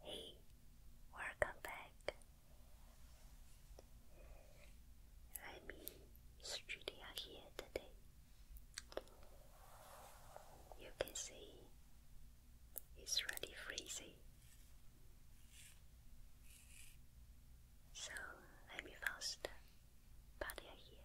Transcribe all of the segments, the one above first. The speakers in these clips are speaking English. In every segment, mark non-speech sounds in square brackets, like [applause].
Hey, welcome back. I'm in studio here today. You can see it's really freezing. So let me faster, but here.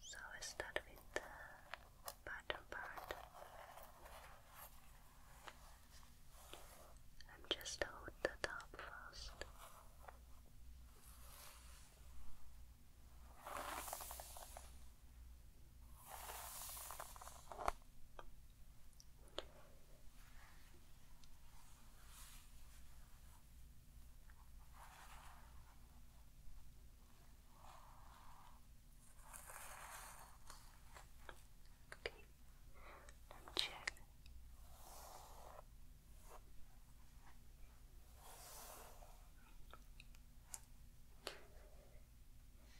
So I start with the bottom part. I'm just hold the top first. Okay, let me check.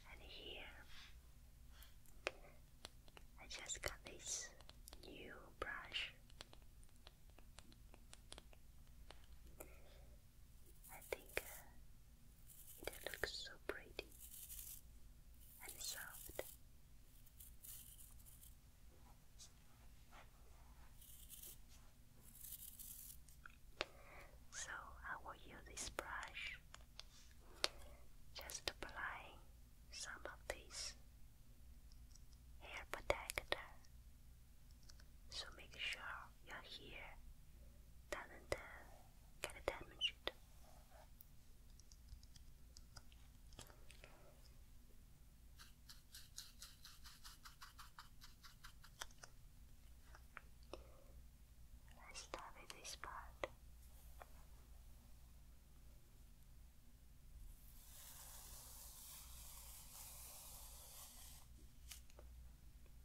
And here, I just got this new brush. I think uh, it looks so pretty and soft. So I will use this brush just apply some of this hair protector. So make sure you're here doesn't get damaged. Let's start with this part.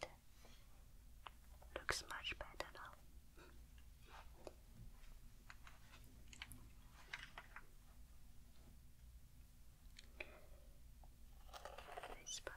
Good. Looks much better now. This part.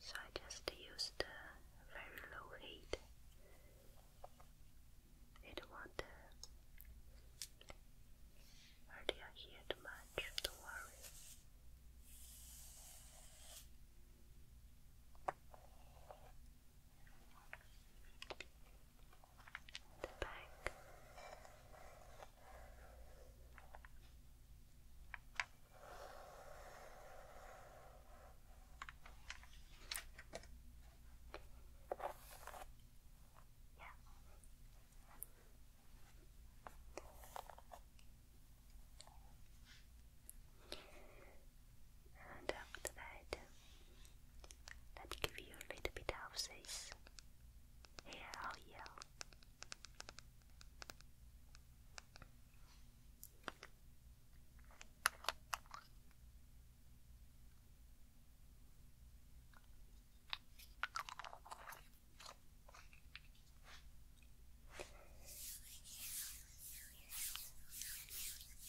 So I just used a very low heat. It won't hurt your hair too much, don't worry the back. Yeah. And after that, let me give you a little bit of this Hell yeah.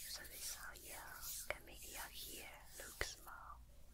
So this is how your committee out here looks now.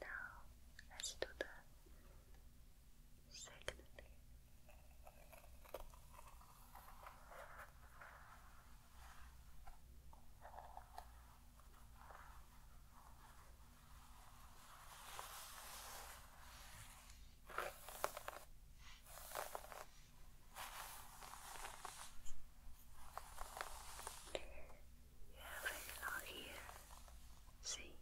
Now let's do the second very long here. See,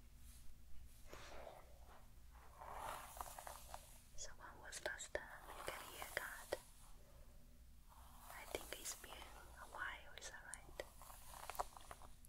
someone was last time. You can hear I think it's been a while. Is that right?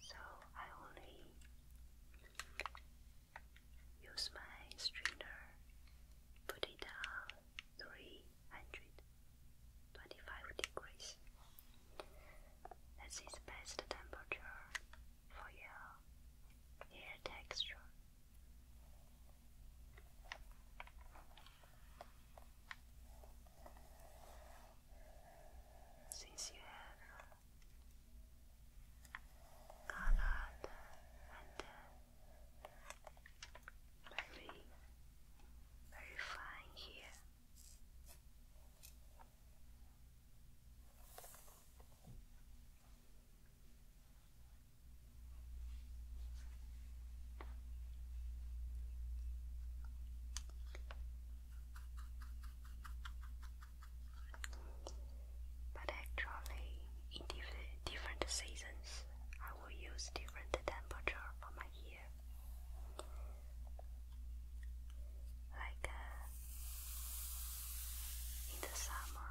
So I only use my strainer, put it down three hundred twenty-five degrees. This is best temperature for your hair texture. Since you have colored and very, very fine here. But actually, in diff different seasons, I will use different temperature for my hair. Like uh, in the summer,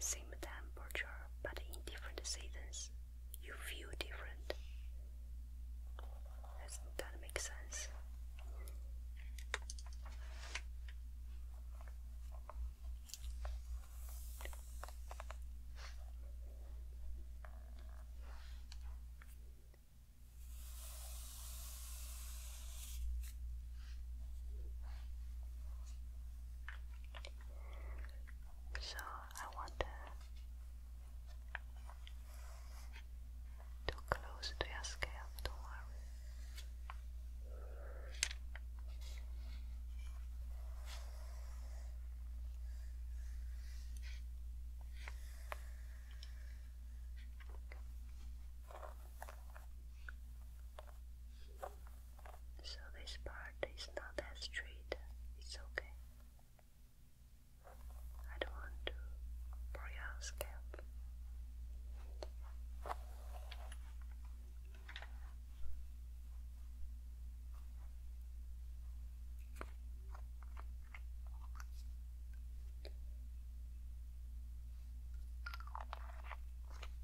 same temperature, but in different seasons, you feel different. Does that make sense? So I want to close to your scalp, don't worry so this part is not as straight. It's okay. I don't want to pour your scalp especially the I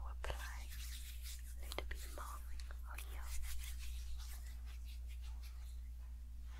will apply a little bit more on you.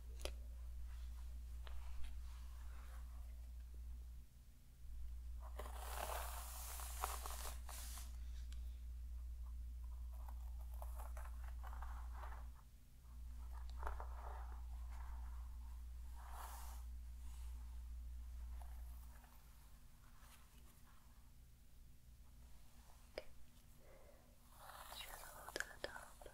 Okay. Just a little top.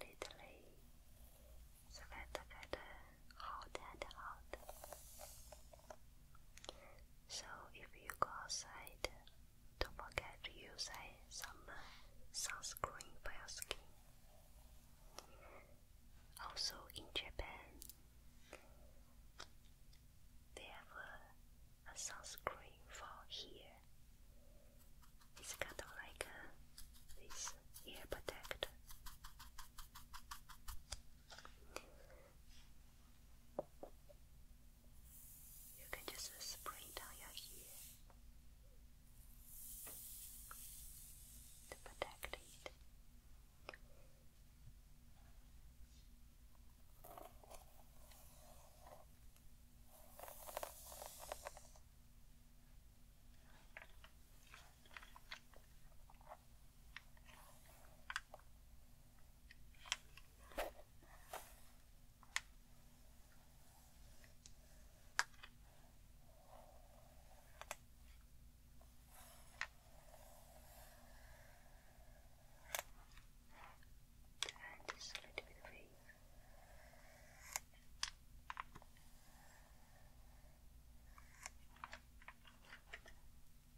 Literally, so that I could hold it out. So if you go outside, don't forget to use uh, some uh, sunscreen for your skin. Also in Japan, they have a, sunscreen for here. It's kind of like a, uh, this ear protector. You can just spray down your hair to protect it. And just a little bit of face. Just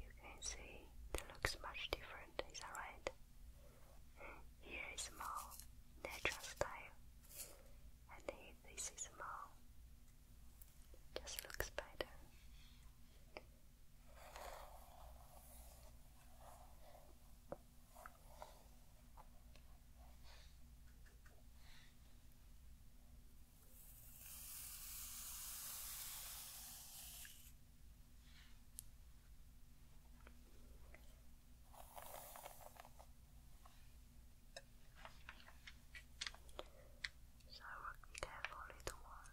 You can see it looks much different, is that right? Here is more natural style, and here this is more just looks better. So I work carefully the one.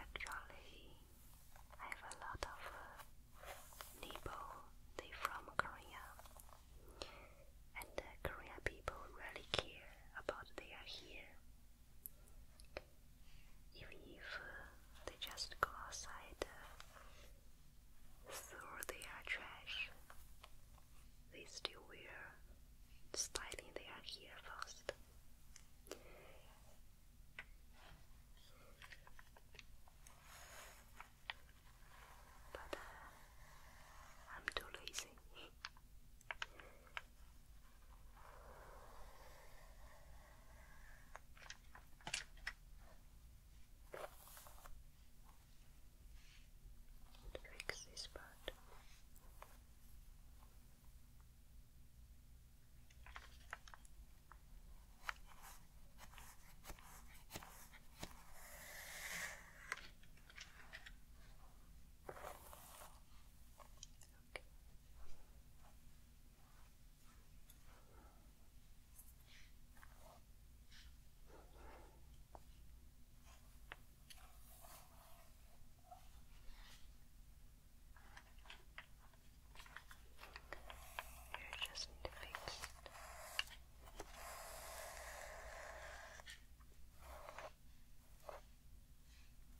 Actually, I have a lot of uh, They from Korea, and Korean people really care about their hair even if uh, they just go outside uh, throw their trash, they still wear styling their hair first. But uh, I'm too lazy. [laughs] To fix this part. Okay. You just need to fix it. Good.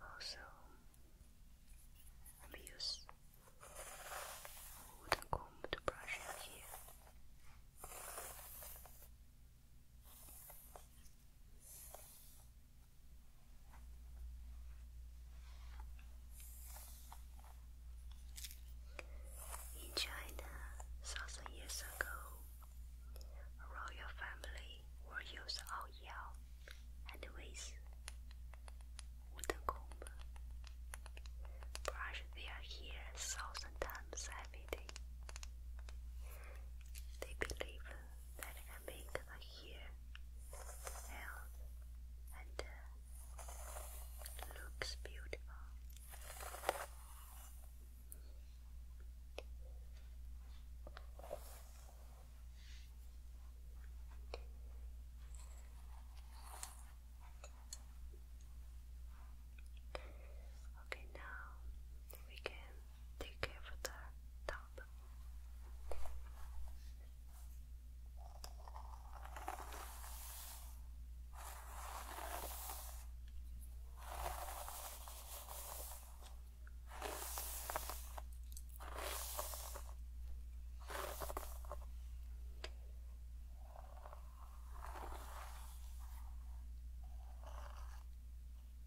Also, let use wooden comb to brush it here. In China, thousand years ago, a royal family will use ao and with wooden comb brush their hair thousand times every lady. They believe that it can make the and uh, looks beautiful. Okay, now we can take care of the top.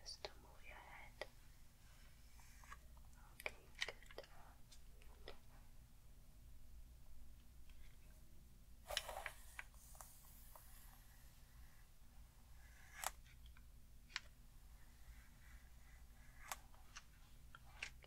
Just to move your head. Okay, good.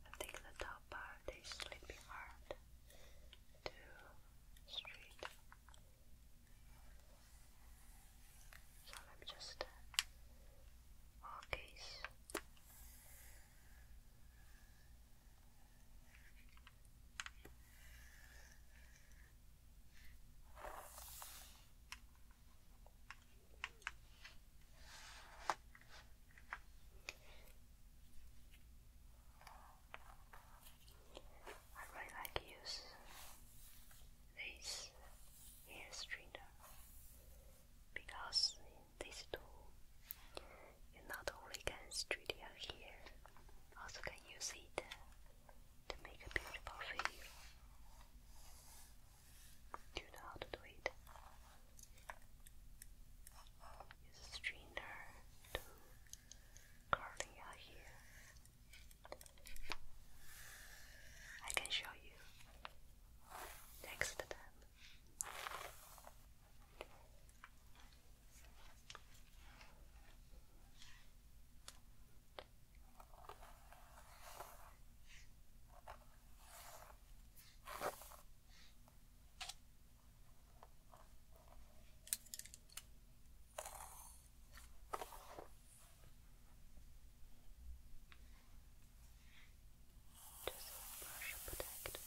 I think the top part is sleeping hard to straight. So let me just uh, focus. I really like use this hair straightener because this tool you not only can straighten your hair, also can use it to make a beautiful face. Do you know how to do it? Use a to cornea here. I can show you next time. Just brush and protect. Just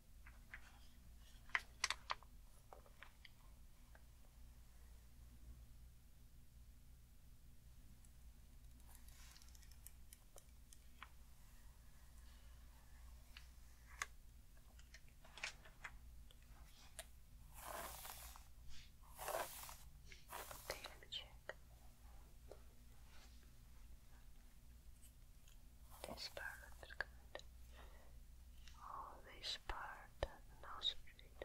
Okay, let me check. This part is good. Oh, this part and street.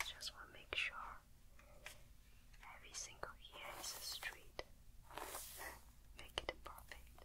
Just want to make sure every single ear is straight. [laughs] make it perfect.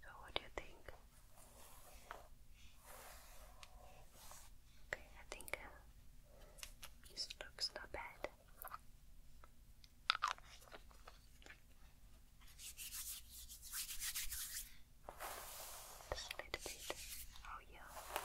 So, what do you think? Okay, I think uh, this looks not bad. Just a little bit. Oh, yeah.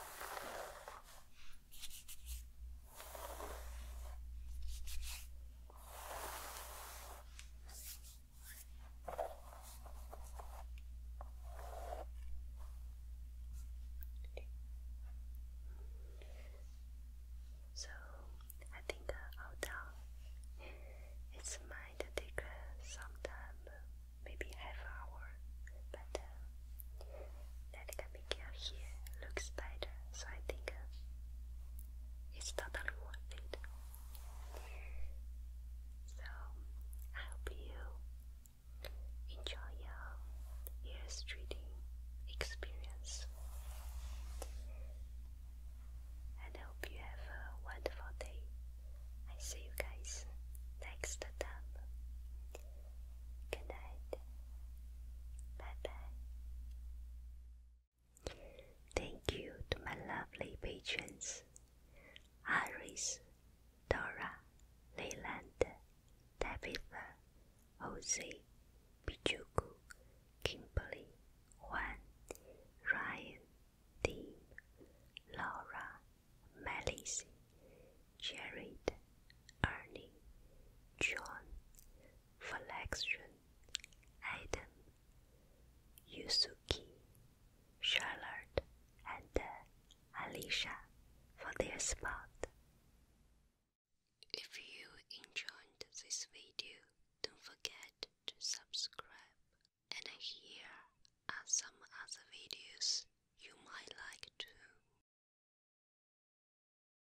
So I think uh, I'll might take uh, some time, uh, maybe half hour, but uh, that Gamigea here looks better, so I think uh, it's totally worth it. So, I hope you enjoy your ears treating experience. And hope you have a wonderful day. I see you guys next time. Good night. Bye bye. Thank you to my lovely patrons Iris, Dora, Leyland, Tabitha, Jose, Pichuku, Kimberly, Juan, Ryan, Dean, Laura, Melissa, Jared, Ernie, John, Flexion, Adam, Yusuke, Charlotte, and uh, Alicia for their spot. If you enjoyed this video, don't forget to subscribe. And here are some other videos you might like too.